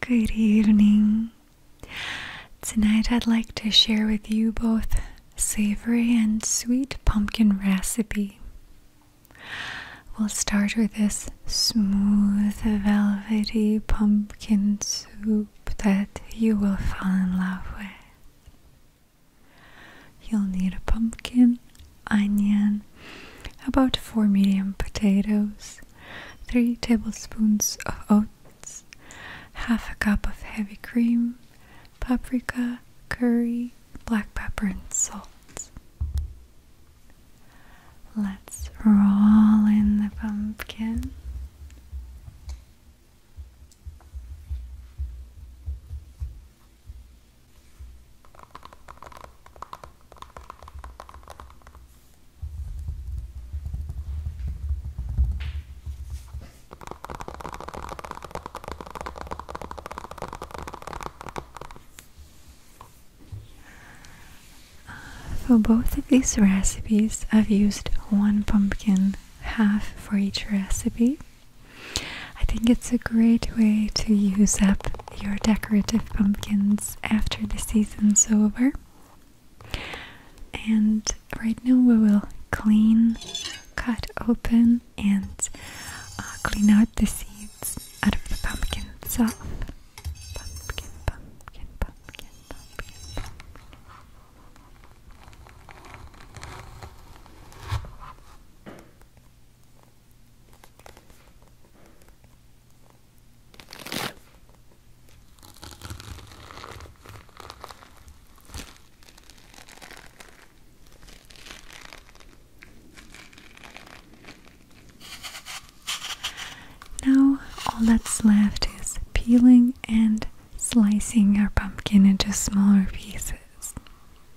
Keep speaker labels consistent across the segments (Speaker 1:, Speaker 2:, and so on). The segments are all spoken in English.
Speaker 1: Good evening. Tonight I'd like to share with you both savory and sweet pumpkin recipe. We'll start with this smooth, velvety pumpkin soup that you will fall in love with. You'll need a pumpkin, onion, about four medium potatoes, 3 tablespoons of oats, half a cup of heavy cream, paprika, curry, black pepper, and salt. Let's roll in the pumpkin. For both of these recipes, I've used one pumpkin, half for each recipe. I think it's a great way to use up your decorative pumpkins after the season's over. And right now we will clean, cut open, and uh, clean out the seeds out of the pumpkin itself. Pumpkin, pumpkin, pumpkin, pumpkin, pumpkin. Now, all that's left is peeling and slicing our pumpkin into smaller pieces.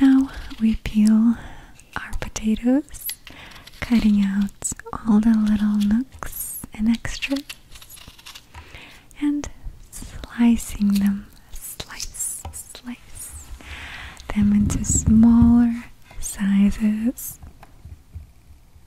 Speaker 1: Now we peel our potatoes, cutting out all the little nooks and extras and slicing them. Slice, slice them into smaller sizes.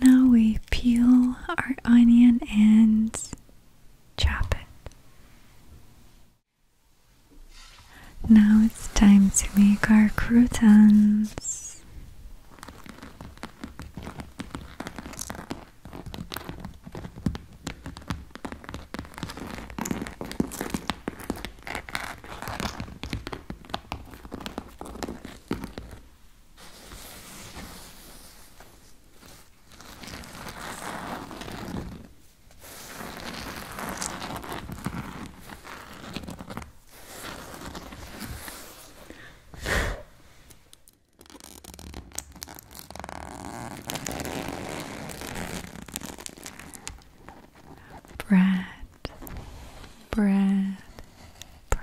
Speaker 1: Now we peel our onion and chop it. Now it's time to make our croutons bread, bread, bread, bread, bread,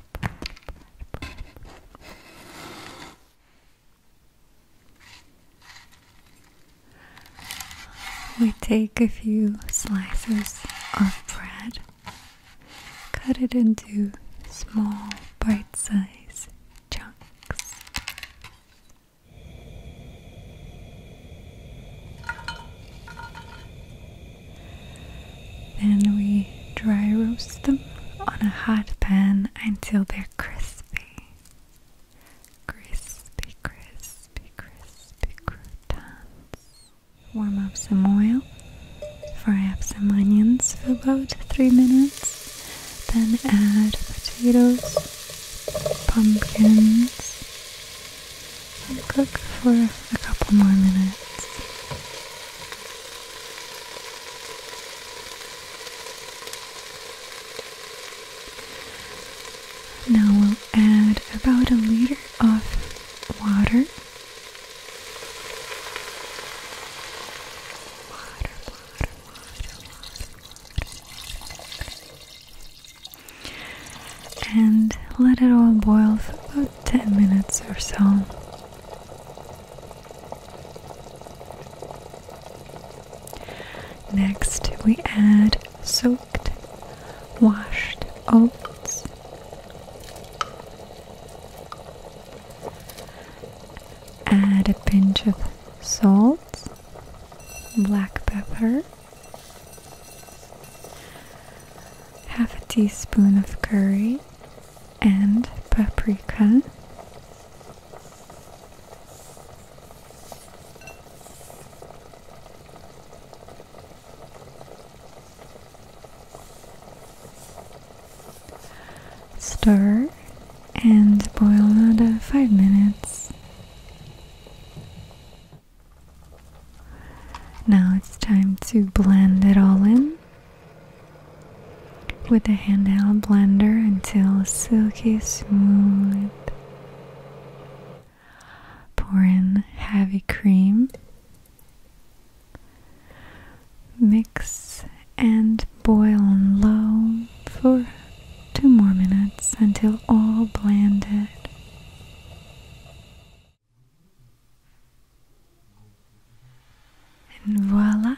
Speaker 1: bread, bread, bread, bread. We take a few slices of bread, cut it into small bite sized chunks. Then we dry roast them on a hot pan until they're crispy. Crispy, crispy, crispy croutons. Warm up some oil. Fry up some onions for about 3 minutes. Then add potatoes, pumpkins, and cook for a couple more minutes. Now we'll add about a liter of water. Water, water, water, And let it all boil for about 10 minutes or so. Next, we add soaked washed oats. Add a pinch of salt, black pepper, half a teaspoon of curry, and paprika. Stir and boil another 5 minutes. Now it's time to blend it all in with a handheld blender until silky smooth. Pour in heavy cream. Mix and boil on low for two more minutes until all blended. And voila,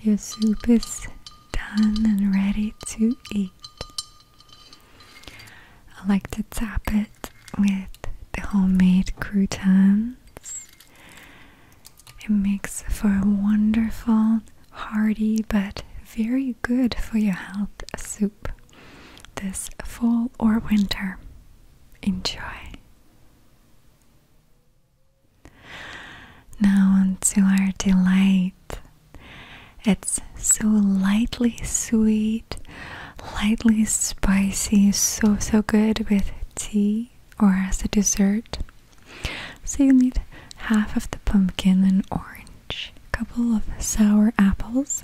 Speaker 1: your soup is done and ready to eat. I like to top it with the homemade croutons. It makes for a wonderful, hearty, but very good for your health soup this fall or winter. Enjoy. Now, onto our delight. It's so lightly sweet, lightly spicy, so so good with tea or as a dessert. So, you need half of the pumpkin and orange, a couple of sour apples,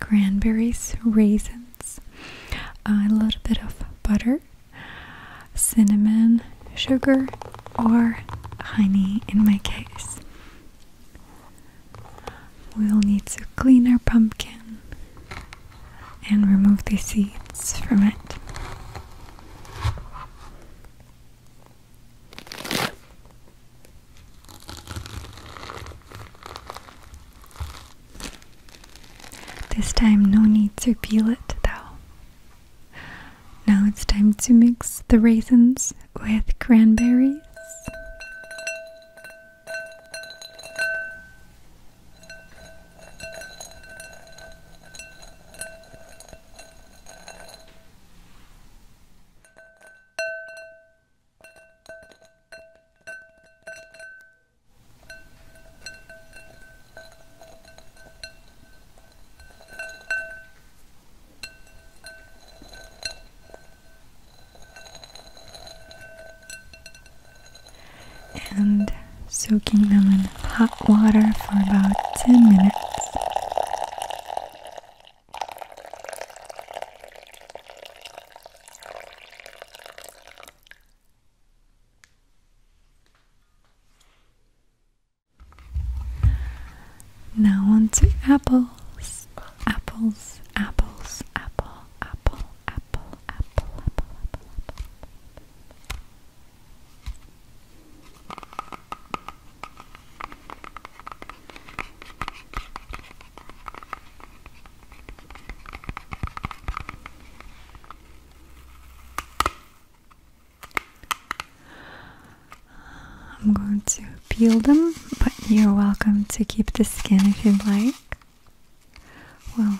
Speaker 1: Granberries, raisins, a little bit of butter, cinnamon, sugar, or honey in my case. We'll need to clean our pumpkin and remove the seeds from it. This time, no need to peel it though. Now it's time to mix the raisins with cranberries and soaking them in hot water for about 10 minutes. Now on to apples. Apples, apples, apple, apple, apple, apple, apple, apple. I'm going to peel them, but you're welcome to keep the skin if you'd like. Well,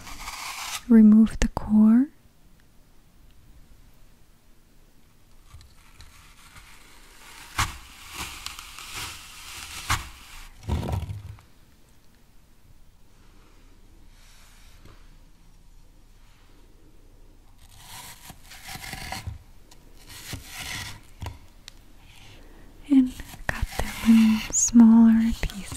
Speaker 1: remove the core and cut them in smaller pieces.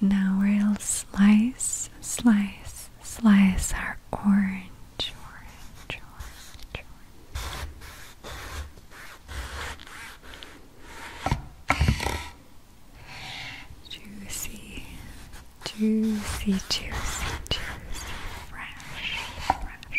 Speaker 1: Now we'll slice, slice, slice our orange, orange, orange, Juicy, juicy, juicy, juicy, fresh, fresh.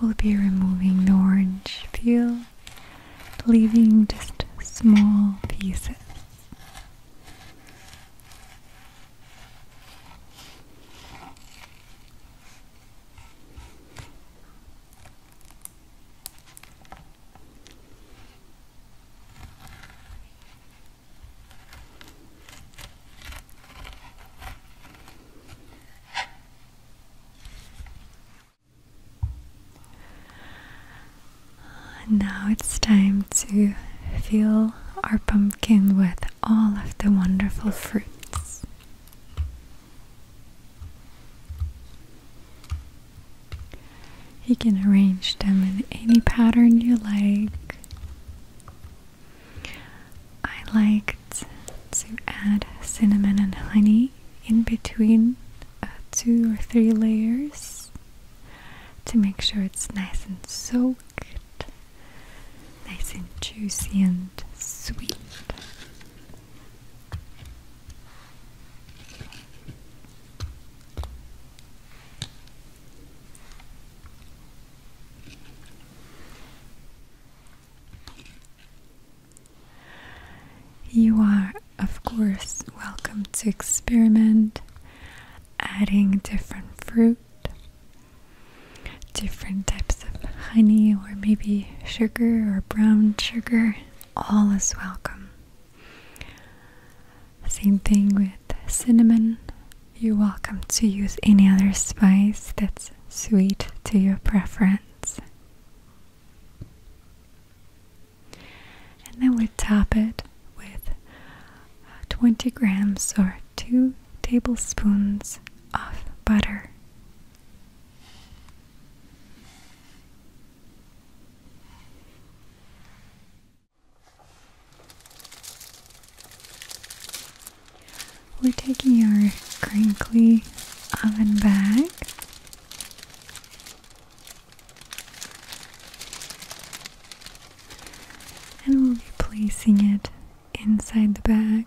Speaker 1: We'll be removing the orange peel, leaving just small pieces now it's time to fill our pumpkin with all of the wonderful fruits. You can arrange them in any pattern you like. I like to add cinnamon and honey in between uh, two or three layers to make sure it's nice and soaked, nice and juicy and sweet. You are, of course, welcome to experiment adding different fruit, different types of honey, or maybe sugar or brown sugar. All is welcome. Same thing with cinnamon. You're welcome to use any other spice that's sweet to your preference. And then we top it with uh, 20 grams or 2 tablespoons of butter. We're taking our crinkly oven bag. And we'll be placing it inside the bag.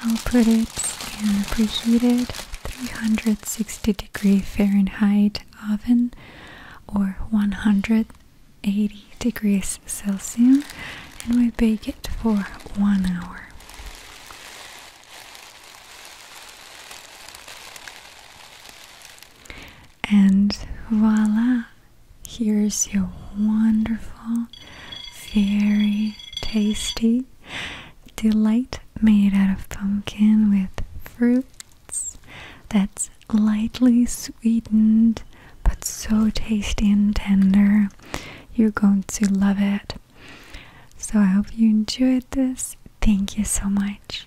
Speaker 1: I'll put it in a preheated 360 degree Fahrenheit oven or 180 degrees Celsius and we bake it for one hour. And voila! Here's your wonderful, very tasty delight made out of pumpkin with fruits that's lightly sweetened but so tasty and tender. You're going to love it. So I hope you enjoyed this. Thank you so much.